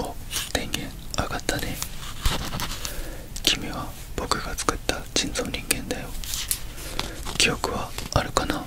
お電源上がったね君は僕が作った人造人間だよ記憶はあるかなう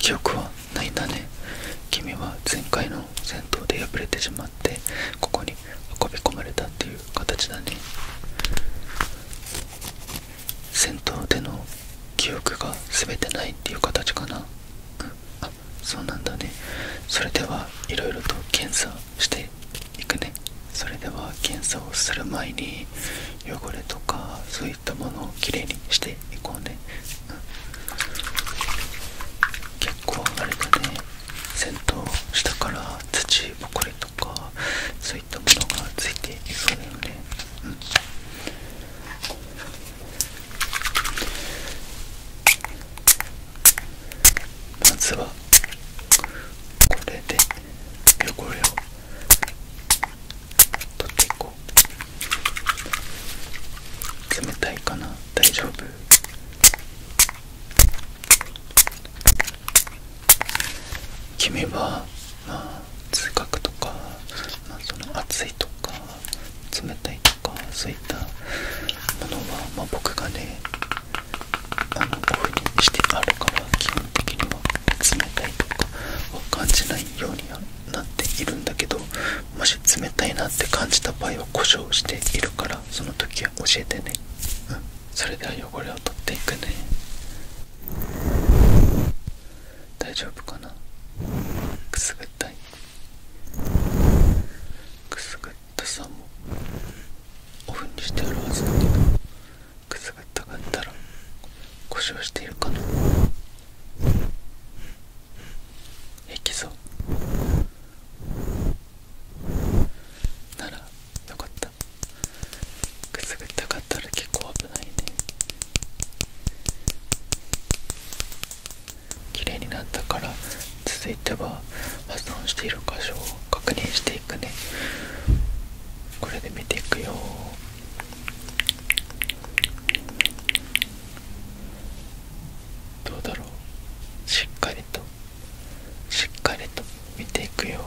記憶は泣いたね君は前回の戦闘で敗れてしまってここに運び込まれたっていう形だね戦闘での記憶が全てないっていう形かな、うん、そうなんだねそれではいろいろと検査していくねそれでは検査をする前に汚れとかそういいったものをきれいにしていこうね、うん、こう、あれだね先頭下から土ぼこりとかそういったものがついていそうだよね、うんまずはこれで汚れを取っていこう冷たいかな大丈夫君はまあ痛覚とか、まあ、その熱いとか冷たいとかそういったものは、まあ、僕がねあのオフにしてあるから基本的には冷たいとかは感じないようにやはなっているんだけどもし冷たいなって感じた場合は故障しているからその時は教えてねそれでは汚れを取っていくね大丈夫かなくすぐったいくすぐったさもオフにしてあるはずだけどくすぐったかったら故障しているかな平気そうならよかったくすぐったかったら結構危ないね綺麗になったから続いては破損している箇所を確認していくねこれで見ていくよどうだろうしっかりとしっかりと見ていくよ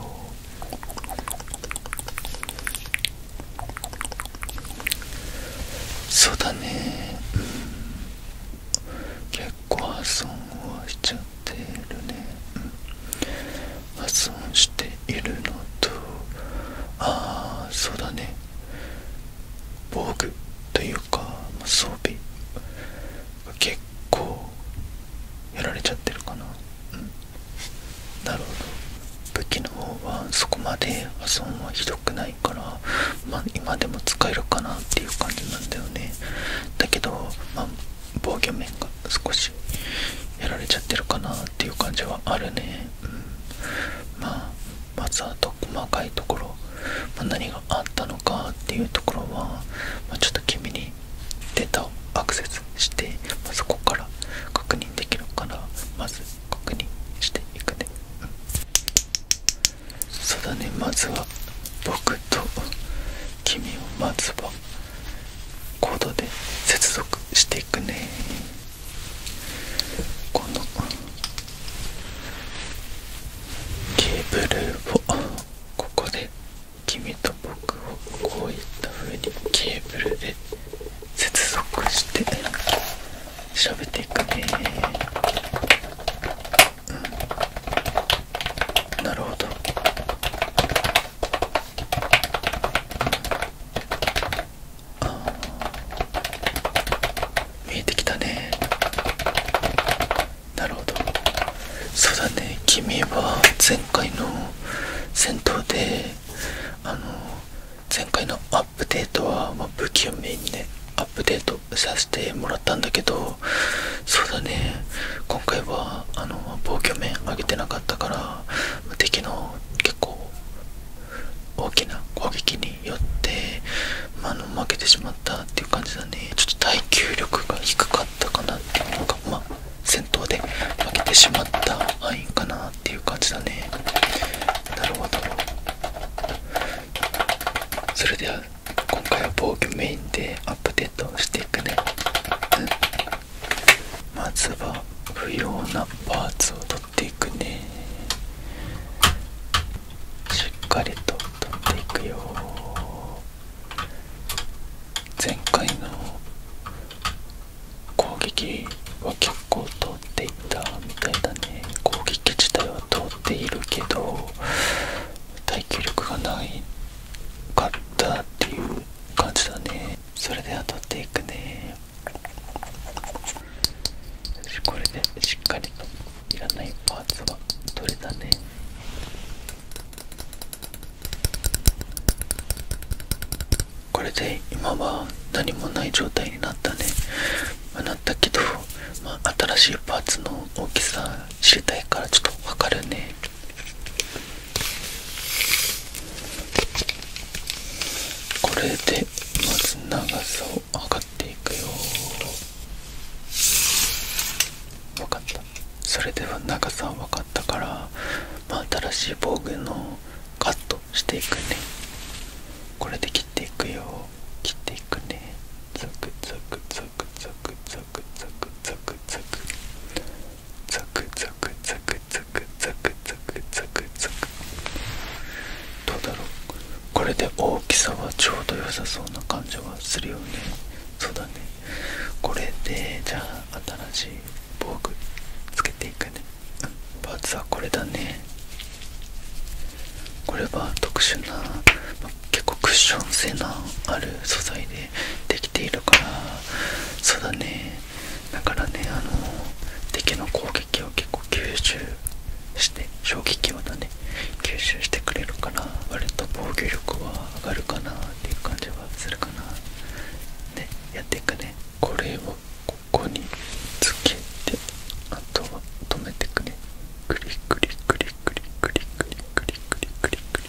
そうだねうん結構破損はしちゃってるね、破損しているのとああそうだね防具というか、ま装備が結構やられちゃってるかなうんなるほど武器の方はそこまで破損はひどくないから、ま今でも使えるかなっていう感じなんだよねだけど、ま防御面が少しやられちゃってるかなっていう感じはあるねうんまあまずはと細かいところ、ま何があったのかっていうところは、まちょっと君にデータをアクセスして、そこから確認できるからまず確認していくね、うん、そうだねまずは僕と君をまずはコードで接続していくねこのケーブルをここで君と僕をこういったふうにケーブルで接続して喋っていくねうんなるほど見えてきたねなるほどそうだね君は前回の戦闘であの前回のアップデートは、ま武器をメインにねアップデートさせてもらったんだけどそうだね今回はあの防御面上げてなかったから敵の結構大きな攻撃によって、あ、の負けてしまったっていう感じだねちょっと耐久力が低かったかなっていうのが、まあ、戦闘で負けてしまったアインかなっていう感じだねなるほどそれでは今回は防御メインでアップデートしていくね、まずは不要なパーツを取っいくねしっかりと取っていくよ前回の攻撃は結構通っていったみたいだね攻撃自体は通っているけど耐久力がないかったっていう感じだねそれでは取っていくねこれでしっかりといらないパーツは取れたねこれで今は何もない状態になったね、まあ、なったけど、まあ、新しいパーツの大きさ知りたいからちょっと分かるねこれでまず長さを測っていくよ分かったそれでは長さは分かったから、まあ、新しい防具のカットしていくねこれで切っていくよ切っていくねザクザクザクザクザクザクザクザクザクザクザクザクザクザクザクザクどうだろうこれで大きさはちょうど良さそうな感じはするよねそうだねこれでじゃあ新しい防具つけていくねパーツはこれだねこれは特殊な、結構クッション性のある素材でできているからそうだねだからねあの敵の攻撃を結構吸収して衝撃をだね吸収してくれるから割と防御力は上がるかなっていう感じはするかなでやっていくねこれをここにつけてあとは止めてくねグリグリグリグリグリグリグリグリグリク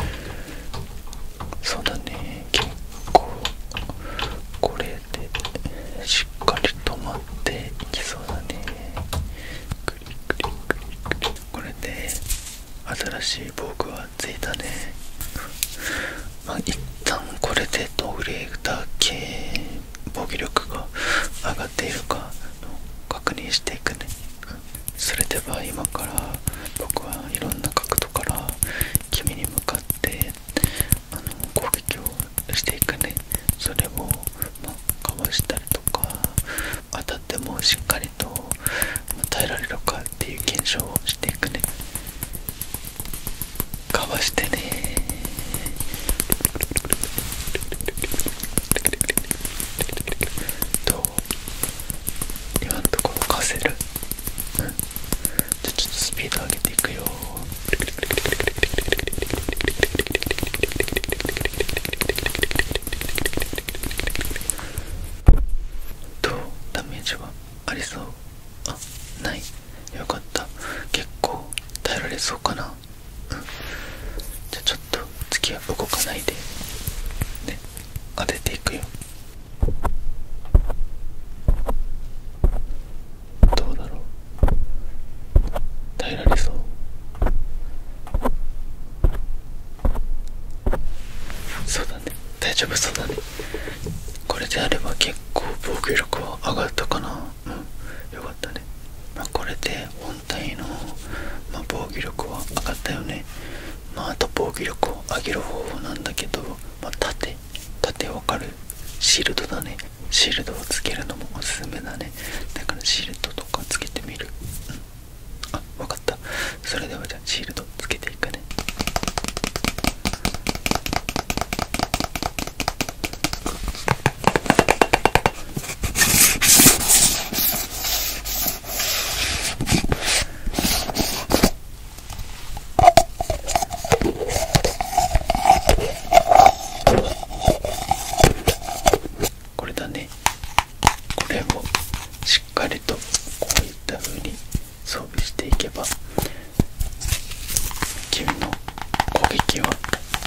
リそうだね結構しっかり止まっていきそうだねこれで新しい防具はついたねまあ一旦これでどれだけ防御力が上がっているか確認していくね、それでは今から僕はいろんな角度から君に向かってあの攻撃をしていくねそれを、かわしたりとか当たってもしっかりと、耐えられるかっていう検証をしていくねかわしてねどう今のところかせるうんじゃあちょっとスピード上げていくよどうダメージはありそうあないよかった結構耐えられそうかなうんじゃあちょっと次は動かないでね当てていくよどうだろう耐えられそうそうだね大丈夫そうだねこれであれば結構防御力は上がったかなうんよかったねまこれで本体の、ま防御力は上がったよねまああと防御力を上げる方法なんだけどまあ、盾盾わかるシールドだねシールドをつけるのもおすすめだねだからシールドとかつけてみる、うん、あかったそれではじゃあシールドつけていくねこれだねこれをしっかりとこういった風に装備していけば君の攻撃を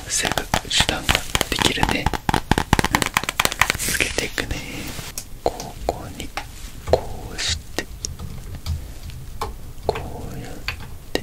防ぐ手段ができるねつけていくねここにこうしてこうやって！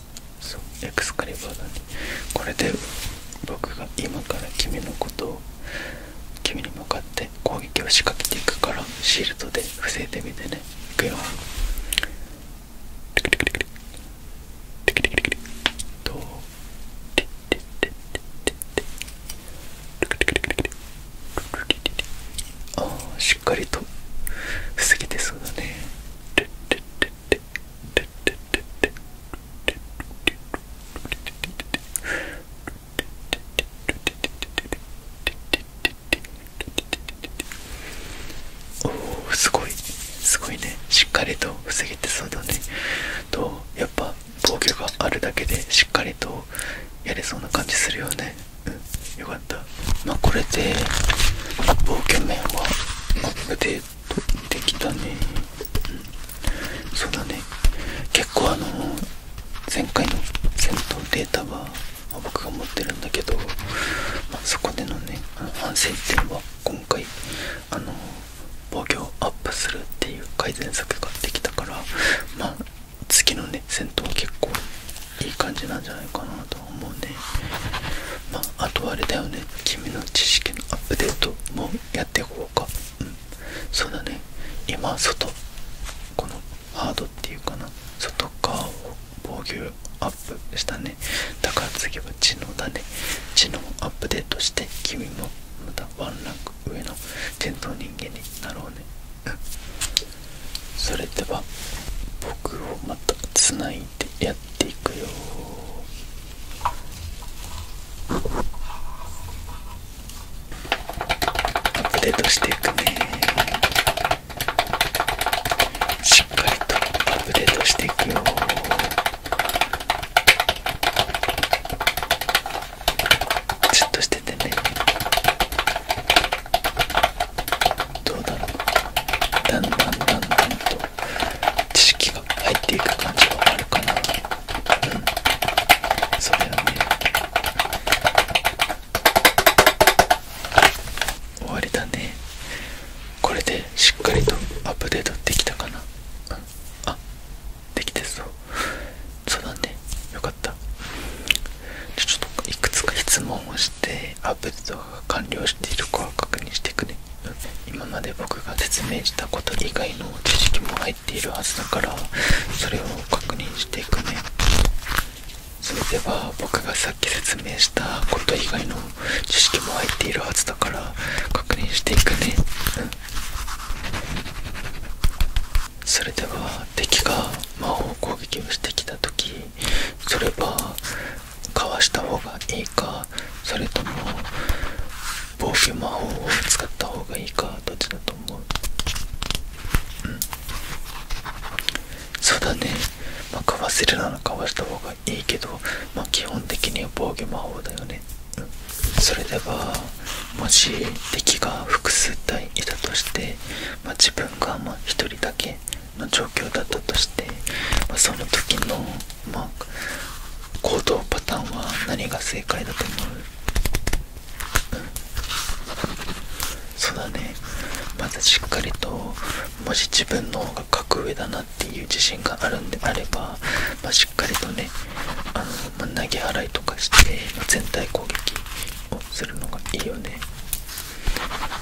そうエクスカリバーだねこれで僕が今から君のことを君に向かって攻撃を仕掛けていくからシールドで防いでみてねいくよああしっかりと防げてそうだね。おおすごいすごいねしっかりと防げてそうだねとやっぱ防御があるだけでしっかりとやれそうな感じするよねうんよかったまあこれで防御面はマップでときたね、そうだね結構あの前回の戦闘データは僕が持ってるんだけど、まあ、そこでのね反省点は今回あの防御アップするっていう改善策ができたからまあ次のね戦闘は結構いい感じなんじゃないかなとまああとあれだよね君の知識のアップデートもやっていこうかうんそうだね今外このハードっていうかな外側を防御アップしたねだから次は知能だね知能アップデートして君もまたワンランク上の伝統人間になろうね、うん、それでは僕をまたつないてやっていくよアップデートしていくねしっかりとアップデートしていくよじっとしててねどうだろうだんだんだんだんと知識が入っていく感じはあるかなうんそれはね終わりだねこれでしっかりとアップデートできたかな、あっ。できてそうそうだねよかったちょっといくつか質問をしてアップデートが完了しているかは確認していくね今まで僕が説明したこと以外の知識も入っているはずだからそれを確認していくねそれでは僕がさっき説明したこと以外の知識も入っているはずだから確認していくねそれでは敵が魔法攻撃をしてきた時それはかわした方がいいかそれとも防御魔法を使った方がいいかどっちだと思ううんそうだねまかわせるならかわした方がいいけどま基本的には防御魔法だよね、それではもし敵が複数体いたとして、ま自分がま1人だけの状況だったとして、まその時のまあ、行動パターンは何が正解だと思う、うん、そうだねまずしっかりともし自分の方が格上だなっていう自信があるんであれば、まあ、しっかりとねあの、ま投げ払いとかして、全体攻撃をするのがいいよね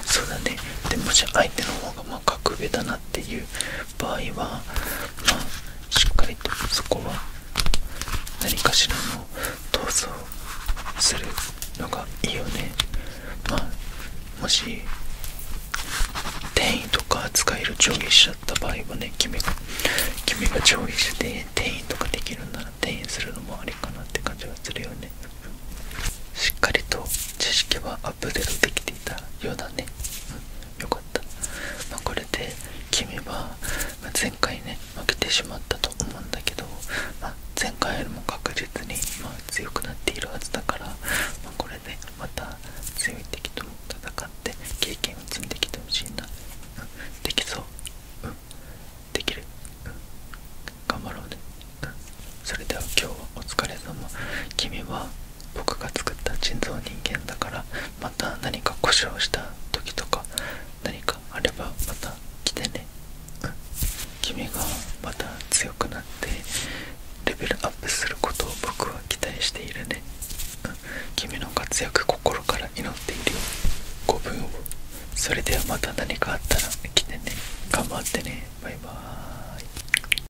そうだねでもし相手の方がまあ格上だなっていう場合は、まあ、しっかりとそこは何かしらの闘争するのがいいよね。まもし転移とか使える上下しちゃった場合はね君が上下して転移とかできるなら転移するのもありかなって感じがするよねしっかりと知識はアップデートできていようだね、うかった、まこれで君は前回ね負けてしまったと思うんだけど、あ、前回よりも確実にまあ強くなっているはずだから、まこれでまた強い敵とも戦って経験を積んできてほしいんだ。できそう、うん、できる、頑張ろうね、それでは今日はお疲れ様君は僕が作った人造人間だからまた何か故障した時とか何かあればまた来てね、君がまた強くなってレベルアップすることを僕は期待しているね、君の活躍心から祈っているよ5分をそれではまた何かあったら来てね頑張ってねバイバーイ